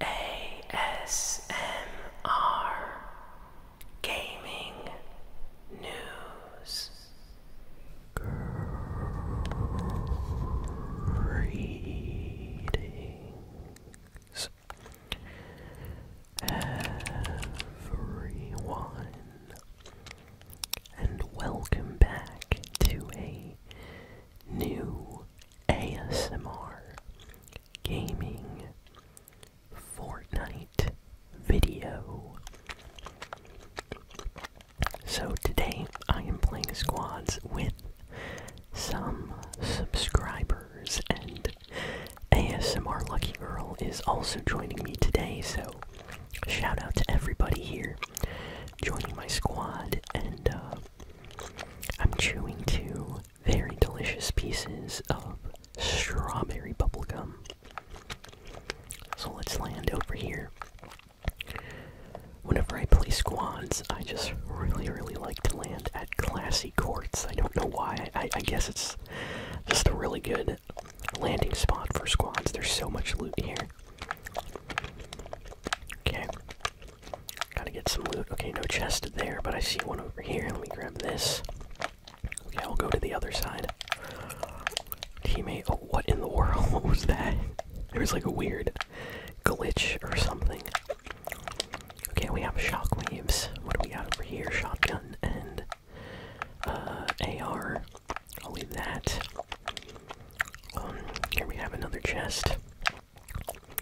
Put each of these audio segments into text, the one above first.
ASMR Gaming News Greetings everyone and welcome back to a new ASMR gaming Fortnite video. So today I am playing squads with some subscribers and ASMR Lucky Girl is also joining me today, so shout out to everybody here joining my squad and uh, I'm chewing two very delicious pieces of strawberry bubblegum. So let's land over here. Whenever I play squads, I just really, really like to land at classy courts. I don't know why. I, I guess it's just a really good landing spot for squads. There's so much loot here. Okay. Gotta get some loot. Okay, no chest there, but I see one over here. Let me grab this. Okay, I'll go to the other side. Teammate, oh, what in the world? What was that? There was like a weird glitch or something. Okay, we have shockwaves. What do we got over here? Shotgun and uh, AR. I'll leave that. Um, here we have another chest.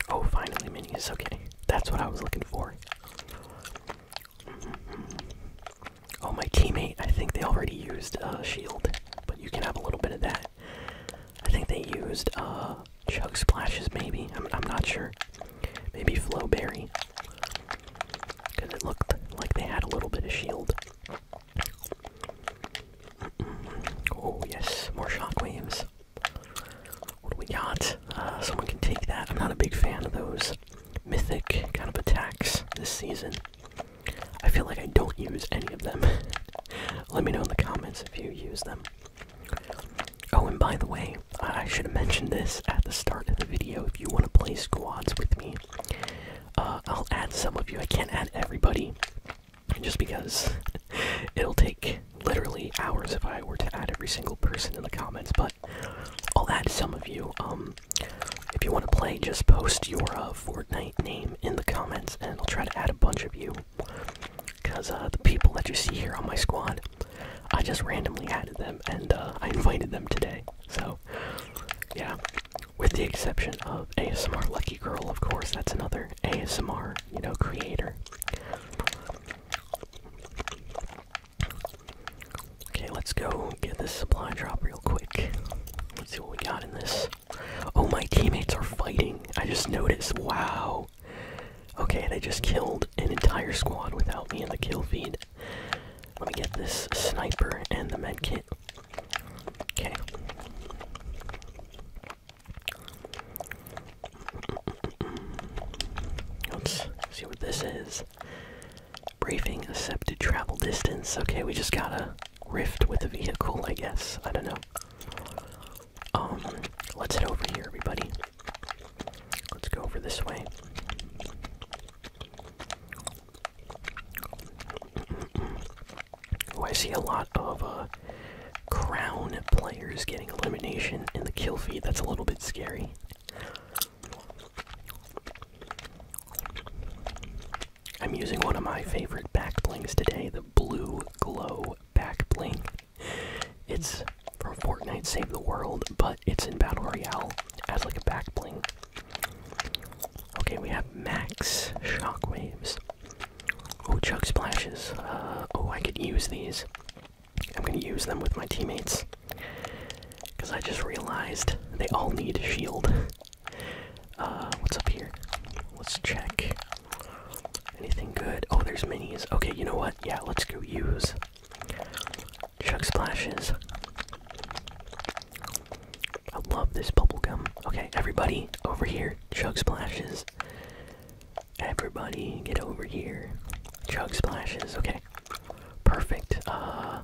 Oh, finally, minis. Okay, that's what I was looking for. Mm-hmm. Oh, my teammate. I think they already used a uh, shield, but you can have a little bit of that. I think they used a uh, chug splashes, maybe. I'm, not sure. Maybe flow berry, because it looked like they had a little bit of shield. Oh yes, more shockwaves. What do we got? Uh, someone can take that. I'm not a big fan of those mythic kind of attacks this season. I feel like I don't use any of them. Let me know in the comments if you use them. Oh, and by the way, I should have mentioned this at the start of the video. If you want to play squads with me, uh, I'll add some of you. I can't add everybody just because it'll take literally hours if I were to add every single person in the comments, but I'll add some of you. Um, if you want to play, just post your uh, Fortnite name in the comments, and I'll try to add a bunch of you. Because uh, the people that you see here on my squad, I just randomly added them, and uh, I invited them today. So, yeah, with the exception of ASMR Lucky Girl, of course, that's another ASMR, you know, creator. Okay, let's go get this supply drop real quick. Let's see what we got in this. Oh, my teammates are fighting. I just noticed. Wow. Okay, they just killed an entire squad without me in the kill feed. Let me get this sniper and the med kit. Okay. Let's see what this is. Briefing accepted travel distance. Okay, we just gotta rift with the vehicle, I guess. I don't know. Um, let's head over here, everybody. Let's go over this way. I see a lot of uh, crown players getting elimination in the kill feed. That's a little bit scary. I'm using one of my favorite back blings today, the Blue Glow back bling. It's from Fortnite Save the World, but it's in Battle Royale as like a back bling. Okay, we have max shockwaves. Oh, Chuck splashes. oh, I could use these. I'm gonna use them with my teammates. Because I just realized they all need shield. Uh, what's up here? Let's check. Anything good? Oh, there's minis. Okay, you know what? Yeah, let's go use Chuck splashes. I love this bubble gum. Okay, everybody over here. Chug splashes. Everybody get over here. Chug splashes. Okay. Perfect. Uh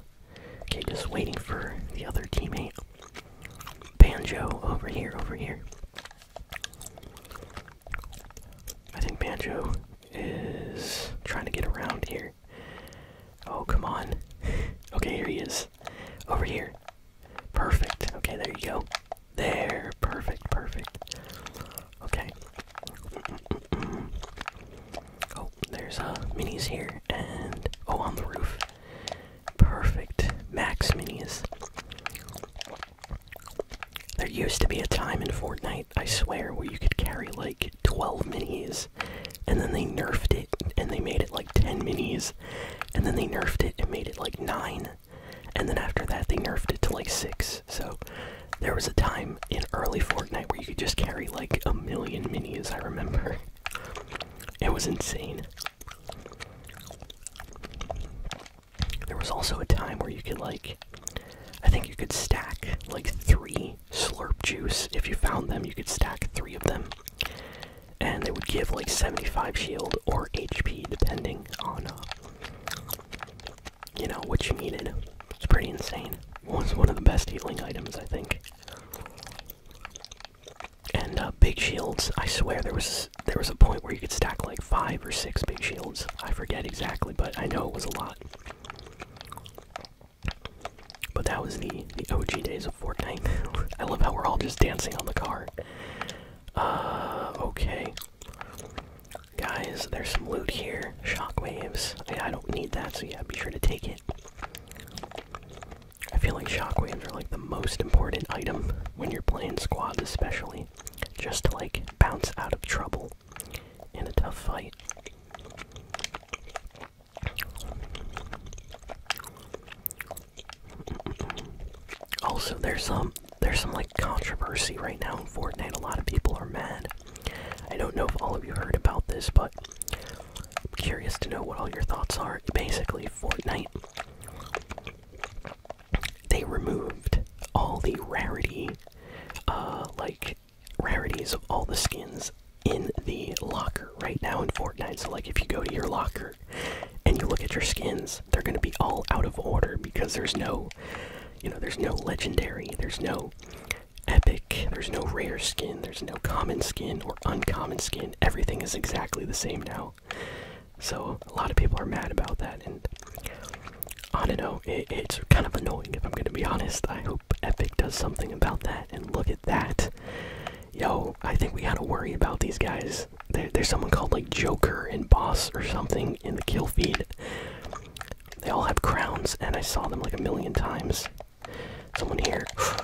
okay, just waiting for the other teammate. Banjo over here, over here. I think Banjo is trying to get around here. Oh, come on. okay, here he is. Over here. Perfect. Okay, there you go. There. Perfect, perfect. Okay. Oh, there's a uh, minis here. And. Oh, on the roof. Perfect. Max minis. There used to be a time in Fortnite, I swear, where you could carry like 12 minis and then they nerfed it and they made it like 10 minis, and then they nerfed it and made it like 9, and then after that they nerfed it to like 6. So there was a time in early Fortnite where you could just carry like a million minis, I remember. It was insane. There was also a time where you could like I think you could stack like three slurp juice. If you found them, you could stack three of them, and they would give like 75 shield or HP depending on uh, you know what you needed. It's pretty insane. Was one of the best healing items, I think. And uh, big shields. I swear there was there was a point where you could stack like five or six big shields. I forget exactly, but I know it was a lot. But that was the the OG days of Fortnite. I love how we're all just dancing on the car. Uh, okay. Guys, there's some loot here. Shockwaves. I don't need that, so yeah, be sure to take it. I feel like shockwaves are like the most important item when you're playing squads, especially. Just to like bounce out of trouble in a tough fight. Also, there's some um, there's some like controversy right now in Fortnite. A lot of people are mad. I don't know if all of you heard about this, but I'm curious to know what all your thoughts are. Basically, Fortnite they removed all the rarity, uh, like rarities of all the skins in the locker right now in Fortnite. So, like, if you go to your locker and you look at your skins, they're going to be all out of order because there's no, you know, there's no legendary, there's no epic, there's no rare skin, there's no common skin or uncommon skin. Everything is exactly the same now. So, a lot of people are mad about that. And I don't know, it's kind of annoying if I'm going to be honest. I hope. Epic does something about that. And look at that. Yo, I think we gotta worry about these guys. there's someone called like Joker and Boss or something in the kill feed. They all have crowns, and I saw them like a million times. Someone here.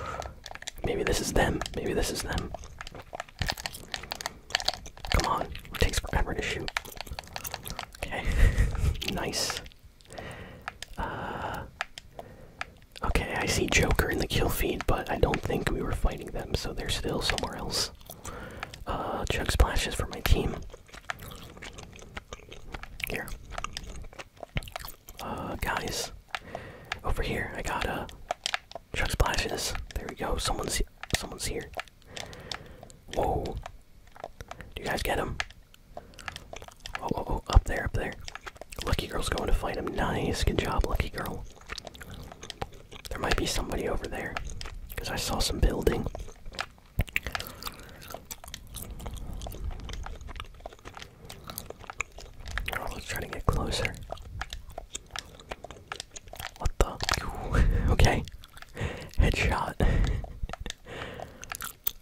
Maybe this is them. Maybe this is them. Come on. takes forever to shoot. Okay. nice. Uh, okay, I see Joker in the kill feed, but I don't think we were fighting them, so they're still somewhere else. Uh, Chug Splashes for my team. Here. Uh, guys. Over here, I got, uh, Chug Splashes. There we go, someone's, someone's here. Whoa. Do you guys get him? Oh, oh, oh, up there, up there. Lucky Girl's going to fight him. Nice, good job, Lucky Girl. There might be somebody over there, because I saw some building. Oh, let's try to get closer. What the? okay. Headshot.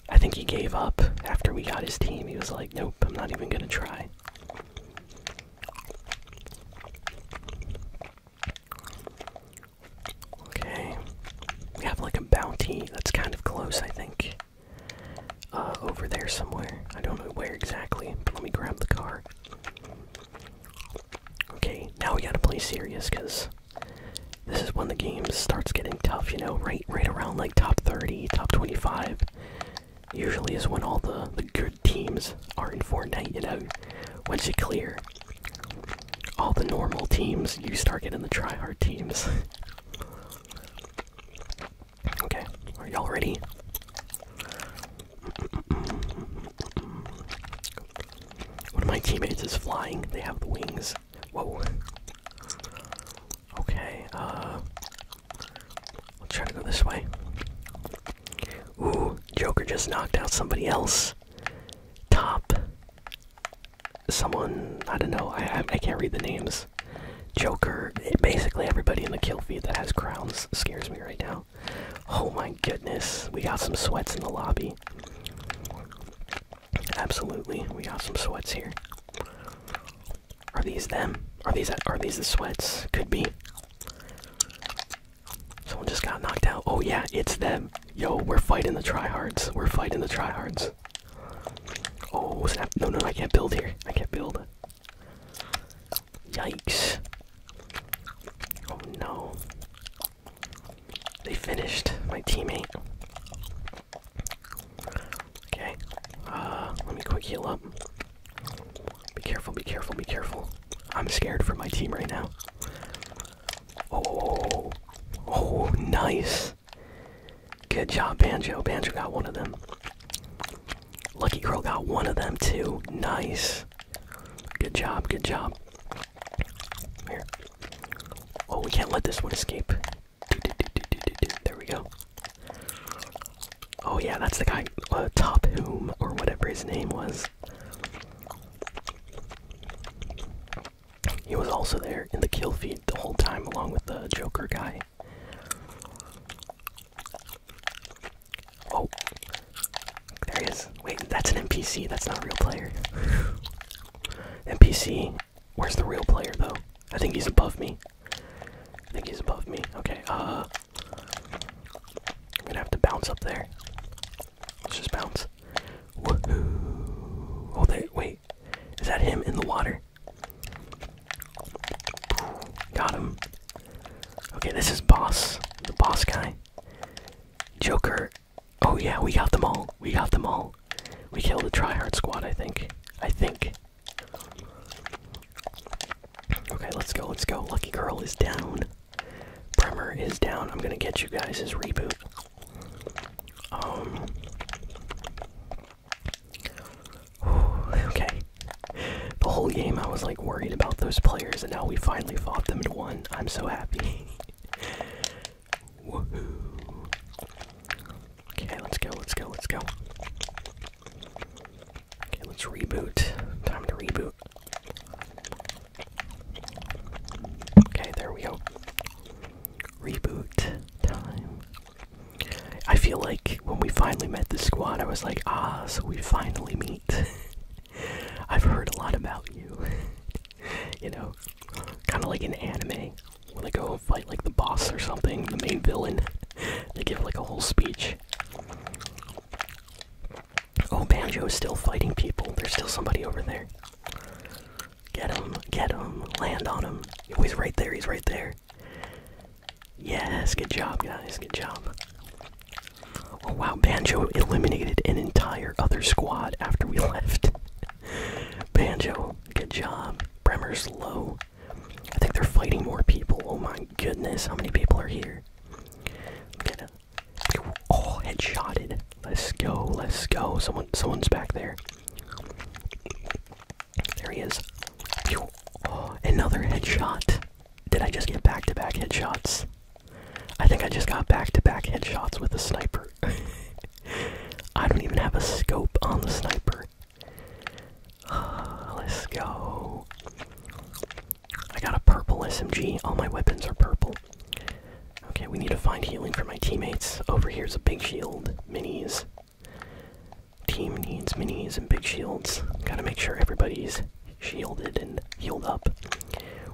I think he gave up after we got his team. He was like, nope, I'm not even gonna try. Okay. We have like a bounty that's kind of close, I think. Uh, over there somewhere. I don't know where exactly, but let me grab the car. Okay, now we gotta play serious because this is when the game starts getting tough, you know, right right around like top 30, top 25. Usually is when all the, the good teams are in Fortnite, you know. Once you clear all the normal teams, you start getting the tryhard teams. okay, are y'all ready? One of my teammates is flying, they have the wings. Whoa. Okay, uh. Let's try to go this way. Ooh, Joker just knocked out somebody else. Top. Someone, I don't know, I, I can't read the names. Joker, basically everybody in the kill feed that has crowns scares me right now. Oh my goodness, we got some sweats in the lobby. Absolutely, we got some sweats here. Are these them? Are these are these the sweats? Could be. Someone just got knocked out. Oh yeah, it's them. Yo, we're fighting the tryhards. We're fighting the tryhards. Oh snap! No, no, I can't build here. I can't build. Yikes! Oh no! They finished my teammate. Okay. Uh, let me quick heal up. Be careful, be careful, be careful. I'm scared for my team right now. Oh, oh, oh, oh, oh nice. Good job, Banjo. Banjo got one of them. Lucky Girl got one of them too. Nice. Good job, good job. Here. Oh, we can't let this one escape. There we go. Oh yeah, that's the guy, uh, Top or whatever his name was. He was also there in the kill feed the whole time, along with the Joker guy. Oh, there he is. Wait, that's an NPC, that's not a real player. NPC. Where's the real player though? I think he's above me. I think he's above me. Okay, uh I'm gonna have to bounce up there. Let's just bounce. Woohoo! Oh there wait. Is that him in the water? Got him. Okay, this is boss. The boss guy. Joker Oh yeah, we got them all. We got them all. We killed the tryhard squad, I think. I think. Okay, let's go, let's go. Lucky Girl is down. Bremer is down. I'm gonna get you guys his reboot. Um Okay. The whole game I was like worried about those players and now we finally fought them and won. I'm so happy. Okay, let's go, let's go, let's go. Okay, let's reboot. Time to reboot. Okay, there we go. Reboot time. I feel like when we finally met the squad, I was like, ah, so we finally meet. I've heard a lot about you. you know, kind of like an anime when they go and fight like the boss or something, the main villain. They give like a whole speech. Oh, Banjo is still fighting people. There's still somebody over there. Get him, get him, land on him. Oh, he's right there, he's right there. Yes, good job, guys, good job. Oh wow, Banjo eliminated an entire other squad after we left. Banjo, good job. Bremer's low. I think they're fighting more people. Oh my goodness, how many people are here? Look at all headshotted. Let's go, let's go. Someone someone's back there. There he is. Oh, another headshot. Did I just get back to back headshots? I think I just got back to back headshots with a sniper. I don't even have a scope on the sniper. let's go. I got a purple SMG. All my weapons are purple. Okay, we need to find healing for my teammates. Over here's a big shield. Minis. Team needs minis and big shields. Gotta make sure everybody's shielded and healed up.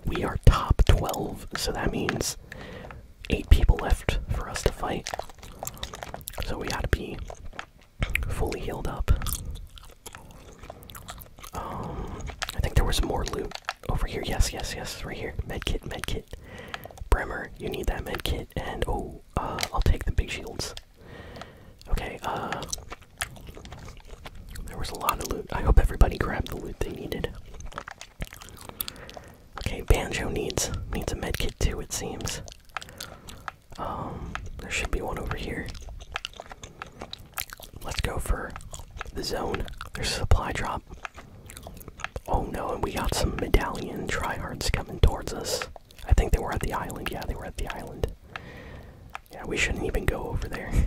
We are top 12, so that means 8 people left for us to fight. So we gotta be fully healed up. Um, I think there was more loot over here. Yes, yes, yes, right here. Medkit, medkit. Bremer, you need that medkit, and oh, uh, I'll take the big shields. Okay, uh, there was a lot of loot. I hope everybody grabbed the loot they needed. Okay, Banjo needs needs a medkit too, it seems. Um, there should be one over here. Let's go for the zone. There's a supply drop. Oh no, and we got some medallion tryhards coming towards us. I think they were at the island. Yeah, they were at the island. Yeah, we shouldn't even go over there.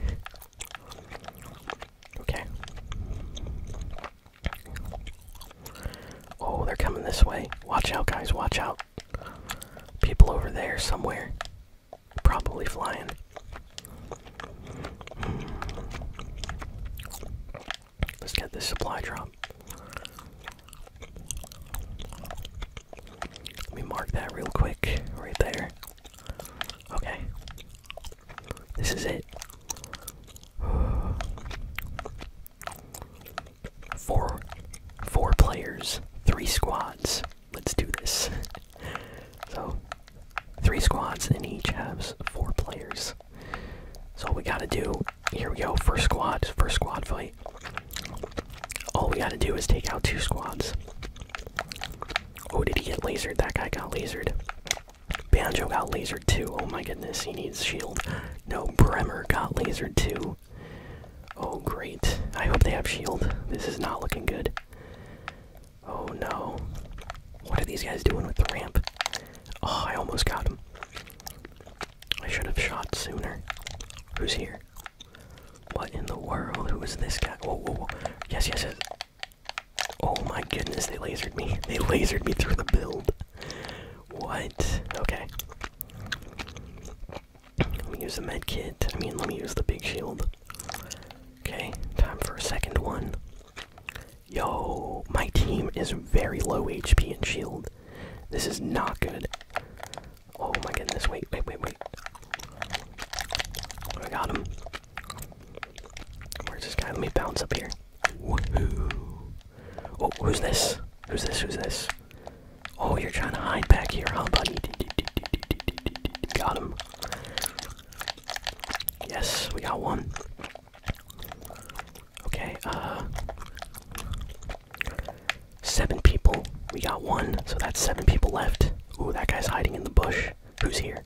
Okay. Oh, they're coming this way. Watch out, guys, watch out. People over there somewhere. Probably flying. Let's get this supply drop. Let me mark that real quick, right there. Okay. This is it. Four four players, three squads. Let's do this. so three squads and each has four players. So what we gotta do, here we go, first squad, first squad fight. All we gotta do is take out two squads. Oh, did he get lasered? That guy got lasered. Banjo got lasered too. Oh my goodness, he needs shield. No, Bremer got lasered too. Oh great. I hope they have shield. This is not looking good. Oh no. What are these guys doing with the ramp? Oh, I almost got him. I should have shot sooner. Who's here? What in the world? Who is this guy? Whoa, whoa, whoa. Yes, yes, yes. Oh my goodness, they lasered me. They lasered me through the build. What? Okay. Let me use the med kit. I mean, let me use the big shield. Okay, time for a second one. Yo, my team is very low HP and shield. This is not good. Oh my goodness, wait, wait, wait, wait. I got him. Where's this guy? Let me bounce up here. Oh, who's this? Who's this? Who's this? Oh, you're trying to hide back here, huh, buddy? Got him. Yes, we got one. Okay, uh, Seven people. We got one, so that's seven people left. Ooh, that guy's hiding in the bush. Who's here?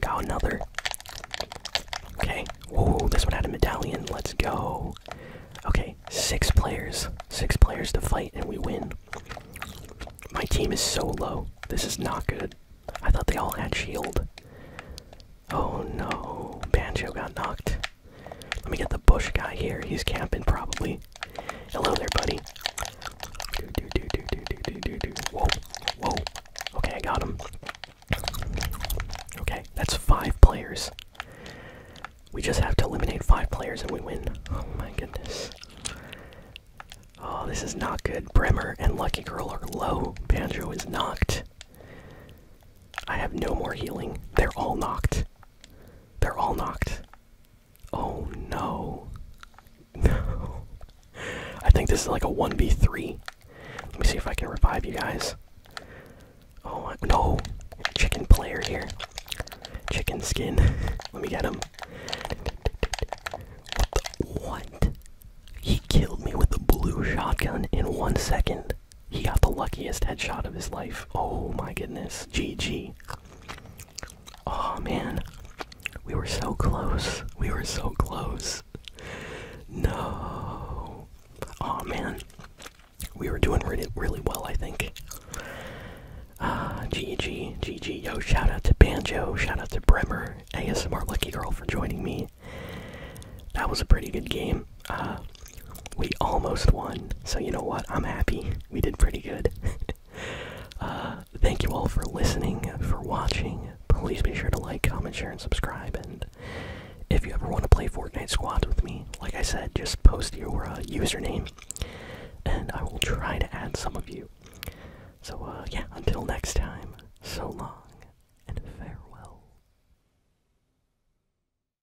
Got another. Okay. Ooh, this one had a medallion. Let's go. Okay, six players. Six players to fight, and we win. My team is so low. This is not good. I thought they all had shield. Oh no. Banjo got knocked. Let me get the bush guy here. He's camping probably. Hello there, buddy. Whoa, whoa. Okay, I got him. Okay, that's five players. We just have to eliminate five players and we win. Oh my goodness. Oh, this is not good. Bremer and Lucky Girl are low. Banjo is knocked. I have no more healing. They're all knocked. They're all knocked. Oh no. No. I think this is like a 1v3. Let me see if I can revive you guys. Oh no. Chicken player here. Chicken skin. Let me get him. What, He killed me with a blue shotgun in one second. He got the luckiest headshot of his life. Oh my goodness. GG. Oh man. We were so close. We were so close. No. Oh man. We were doing really, well, I think. Ah, uh, GG, GG. Yo, shout out to Banjo, shout out to Bremer, ASMR Lucky Girl for joining me. That was a pretty good game. Uh, we almost won. So you know what? I'm happy. We did pretty good. Uh, thank you all for listening, for watching. Please be sure to like, comment, share, and subscribe. And if you ever want to play Fortnite Squads with me, like I said, just post your uh, username, and I will try to add some of you. So uh, yeah, until next time. So long and farewell.